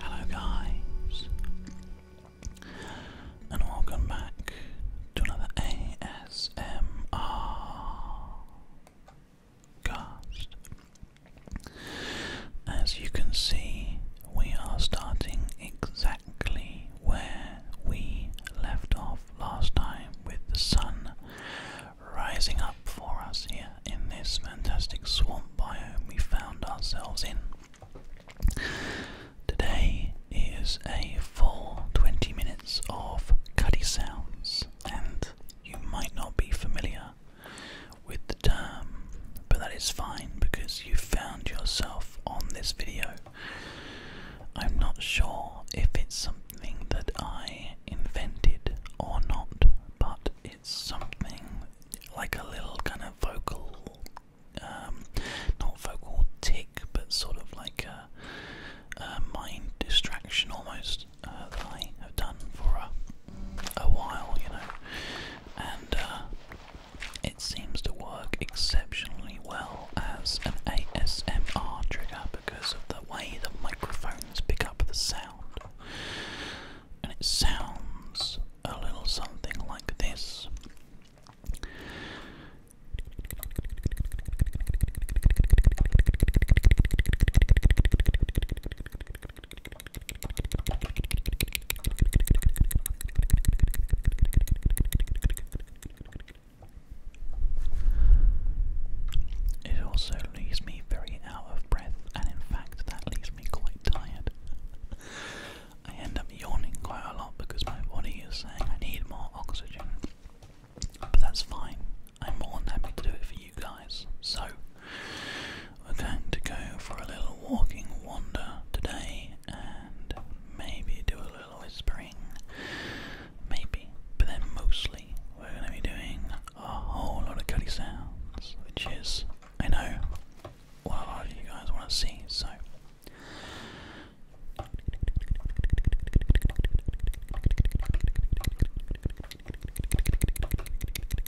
Hello, guys, and welcome back to another ASMR As you can see, we are starting exactly where we left off last time with the sun rising up for us here in this fantastic swamp biome we found ourselves in. Today is a full 20 minutes of cuddy sounds, and you might not be familiar with the term, but that is fine because you found yourself on this video. I'm not sure if it's something that I invented or not, but it's something like a little kind of vocal, um, not vocal tick, but sort of like a, mind distraction almost uh, that I have done for a, while, you know. And uh, it seems to work exceptionally well as an ASMR trigger because of the way the microphones pick up the sound. And it sounds a little something like this. It also leaves me very out of breath, and in fact, that leaves me quite tired. I end up yawning quite a lot because my body is saying I need more oxygen. But that's fine. I'm more than happy to do it for you guys. So, we're going to go for a little walking wander today and maybe do a little whispering. Maybe. But then mostly we're going to be doing a whole lot of cutty sounds, which is, I know, what a lot of you guys want to see, so.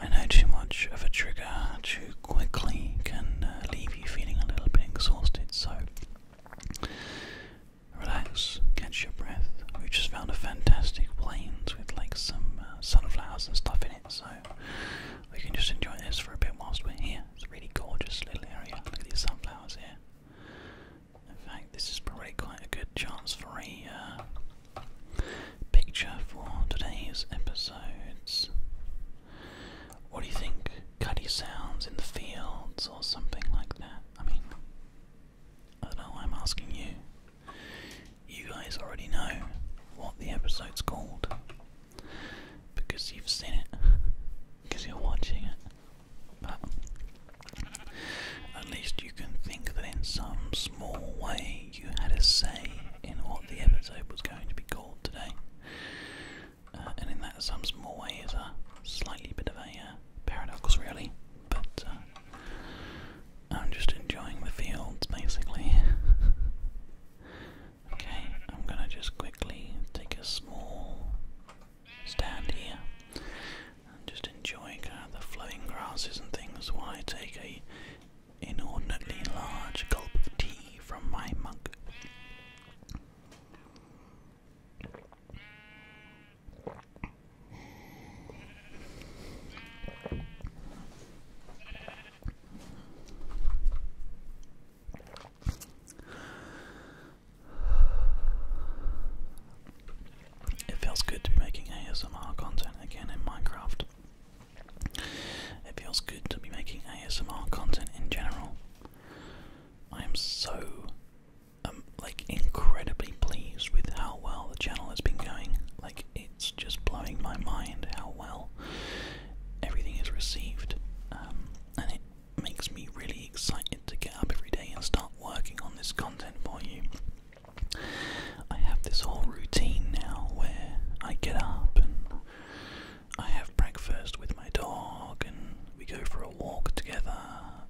I know too much of a trigger too quickly can uh, leave you feeling a little bit exhausted, so relax, catch your breath. We just found a fantastic plains with like some uh, sunflowers and stuff in it, so we can just enjoy this for a bit whilst we're here. It's a really gorgeous little area. Look at these sunflowers here. In fact, this is probably quite a good chance for a uh, picture for today's episodes. What do you think? Cuddy sounds in the fields or something like that? I mean, I don't know I'm asking you. You guys already know what the episode's called because you've seen it because you're watching it. But at least you can think that in some small way you had a say in what the episode was going to be called today. Uh, and in that some small way is a slightly bit of a uh, paradox, really. But uh, I'm just enjoying the fields, basically. okay, I'm gonna just quickly take a small stand here and just enjoying the flowing grasses and things while I take a inordinately large gulp of tea from my mug. It feels good to be making ASMR content again in Minecraft. It feels good to be making ASMR content in general. I am so, um, like, incredibly pleased with how well the channel has been going. Like, it's just blowing my mind how well everything is received. Um, makes me really excited to get up every day and start working on this content for you. I have this whole routine now where I get up and I have breakfast with my dog and we go for a walk together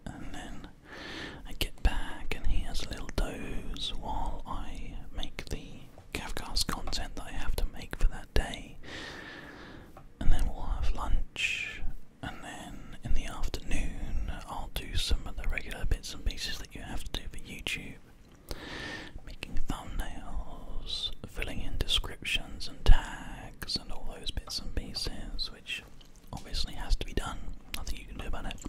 and then I get back and he has a little doze while I make the Cavcast content that I have to make for that day. And then we'll have lunch and then in the afternoon I'll do some of the regular bits and pieces that you have to do for YouTube. Making thumbnails, filling in descriptions and tags and all those bits and pieces, which obviously has to be done. Nothing you can do about it.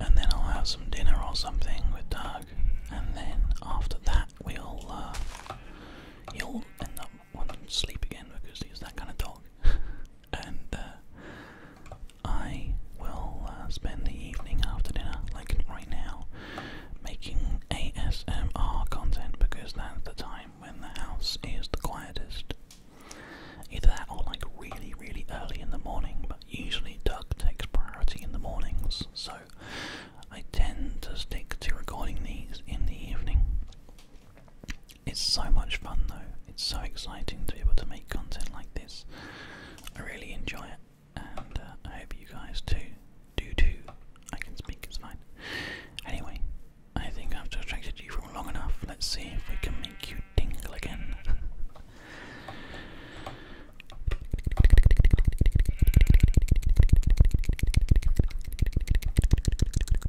And then I'll have some dinner or something with Doug, and then after that we'll uh, you'll end up want to sleep again because he's that kind of dog. and uh, I will uh, spend the evening after dinner, like right now, making ASMR content because that's the time when the house is the quietest. Either that or like really, really early in the morning, but usually Doug takes priority in the mornings, so I tend to stick to recording these in the evening. It's so much fun though. It's so exciting to be able to make content like this. I really enjoy it, and uh, I hope you guys too do too. I can speak, it's fine. Anyway, I think I've distracted you for long enough. Let's see if we can make you tingle again.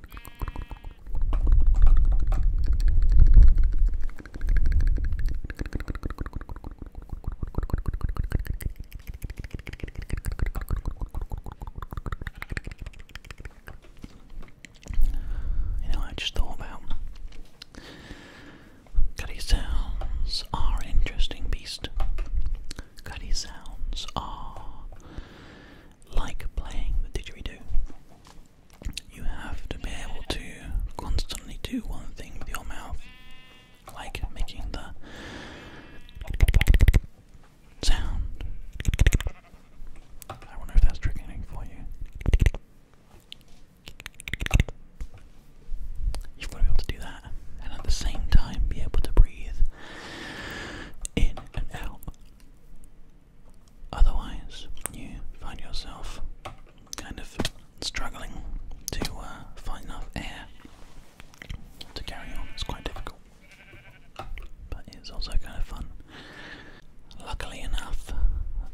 You know, I just thought about Cutty sounds are interesting beast. Cutty sounds are like playing the didgeridoo. You have to be able to constantly do one thing with your mouth, like making the sound. I wonder if that's triggering for you. You've got to be able to do that, and at the same time be able to breathe in and out. Otherwise, you find yourself kind of struggling to uh, find enough air to carry on. It's quite difficult, but it's also kind of fun. Luckily enough,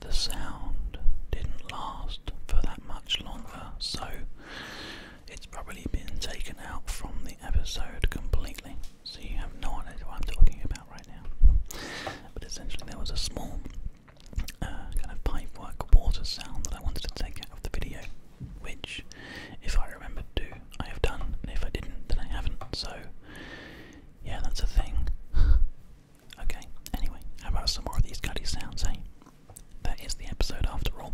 the sound didn't last for that much longer, so it's probably been taken out from the episode completely, so you have no idea what I'm talking about right now. But essentially, there was a small uh, kind of pipework water sound that I wanted to take out of the video, which, if I remember to, I have done, and if I didn't, then I haven't. So, yeah, that's a thing. okay. Anyway, how about some more of these gutty sounds, eh? That is the episode after all.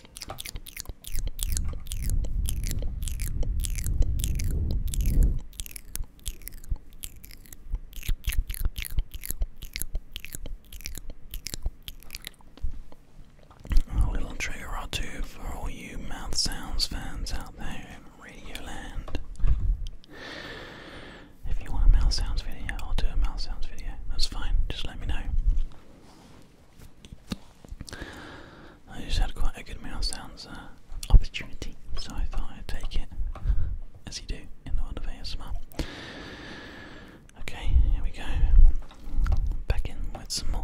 A little trigger or two for all you mouth sounds fans out there Radio Land. If you want a mouth sounds video, I'll do a mouth sounds video. That's fine, just let me know. I just had quite a good meal. sounds uh, opportunity, so I thought I'd take it, as you do in the world of ASMR. Okay, here we go. Back in with some more.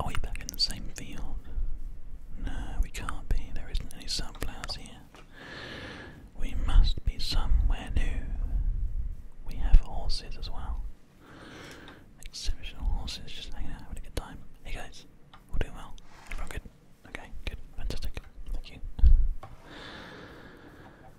Are we back in the same field? No, we can't be. There isn't any sunflowers here. We must be somewhere new. We have horses as well. Exceptional horses just hanging out, having a good time. Hey guys, we'll do well. Everyone good? Okay, good, fantastic. Thank you.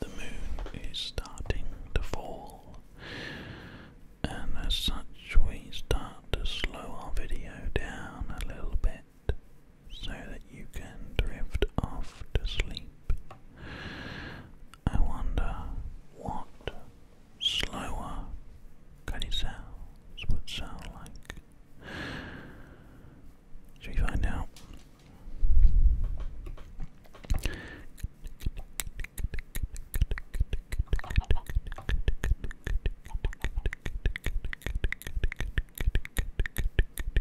The moon is starting to fall, and as such, we start to slow our video down a little bit so that you can drift off to sleep. I wonder what slower cutty sounds would sound like. Should we find out?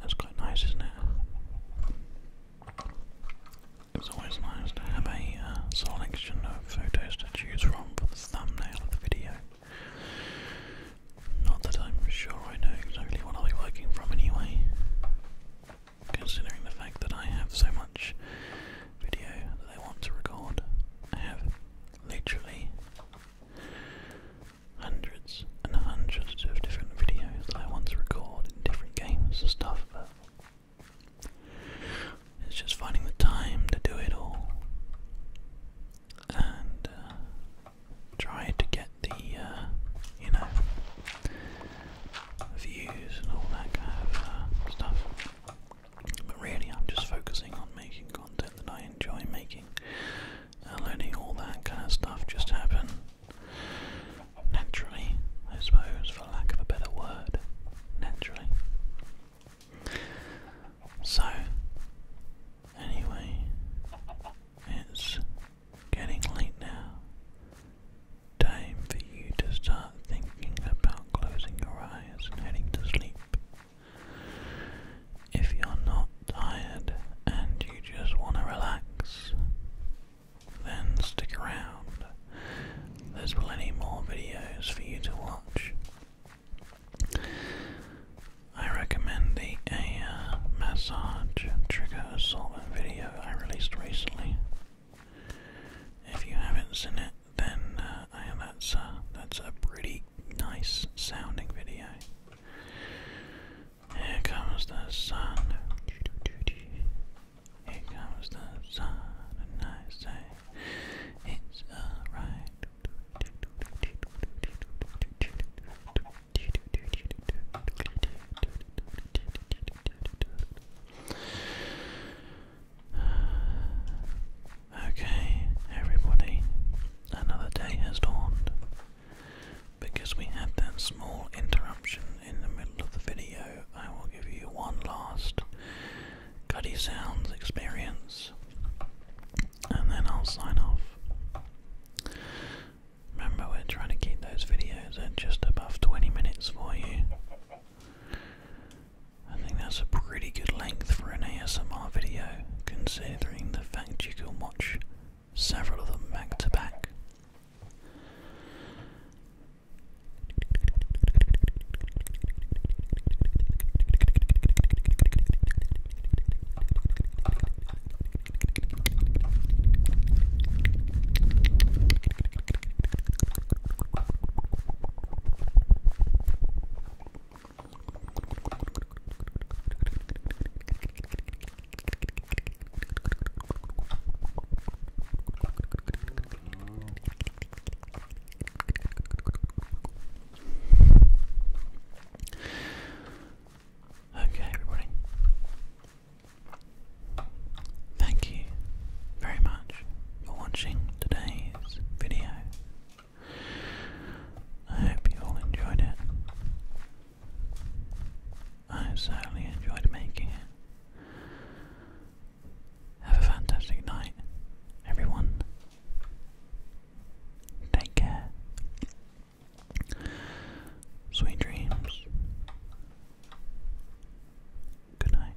That's quite nice, isn't it? It's always nice to have a uh, selection of photos to choose from for the thumbnail of the video. Not that I'm sure I know exactly what I'll be working from anyway, considering the fact that I have so much video that I want to record. I have literally hundreds and hundreds of different videos that I want to record in different games and stuff, it's just finding the time to do it all. And uh, to get the, uh, you know, views and all that kind of uh, stuff. But really, I'm just focusing on making content that I enjoy making. And letting all that kind of stuff just happen naturally, I suppose, for lack of a better word. Naturally. So, anyway, it's getting late now. Time for you to start thinking about closing your eyes and heading to sleep. If you're not tired and you just want to relax, then stick around. There's plenty more videos for you to watch. I recommend the AR uh, massage trigger assortment video I released recently. If you haven't seen it, then uh, yeah, that's uh, that's a pretty nice sounding video. Here comes the sun. Here comes the sun, and I say it's alright. Okay, everybody, another day has dawned. Because we had that small interruption in the middle of the video, I will give you one last Cuddy Sounds experience and then I'll sign off. Remember, we're trying to keep those videos at just above 20 minutes for you. I think that's a pretty good length for an ASMR video, considering the fact you can watch several of them back to back. Okay, everybody. Thank you very much for watching today's video. I hope you all enjoyed it. I certainly enjoyed making it. Have a fantastic night, everyone. Take care. Sweet dreams. Good night.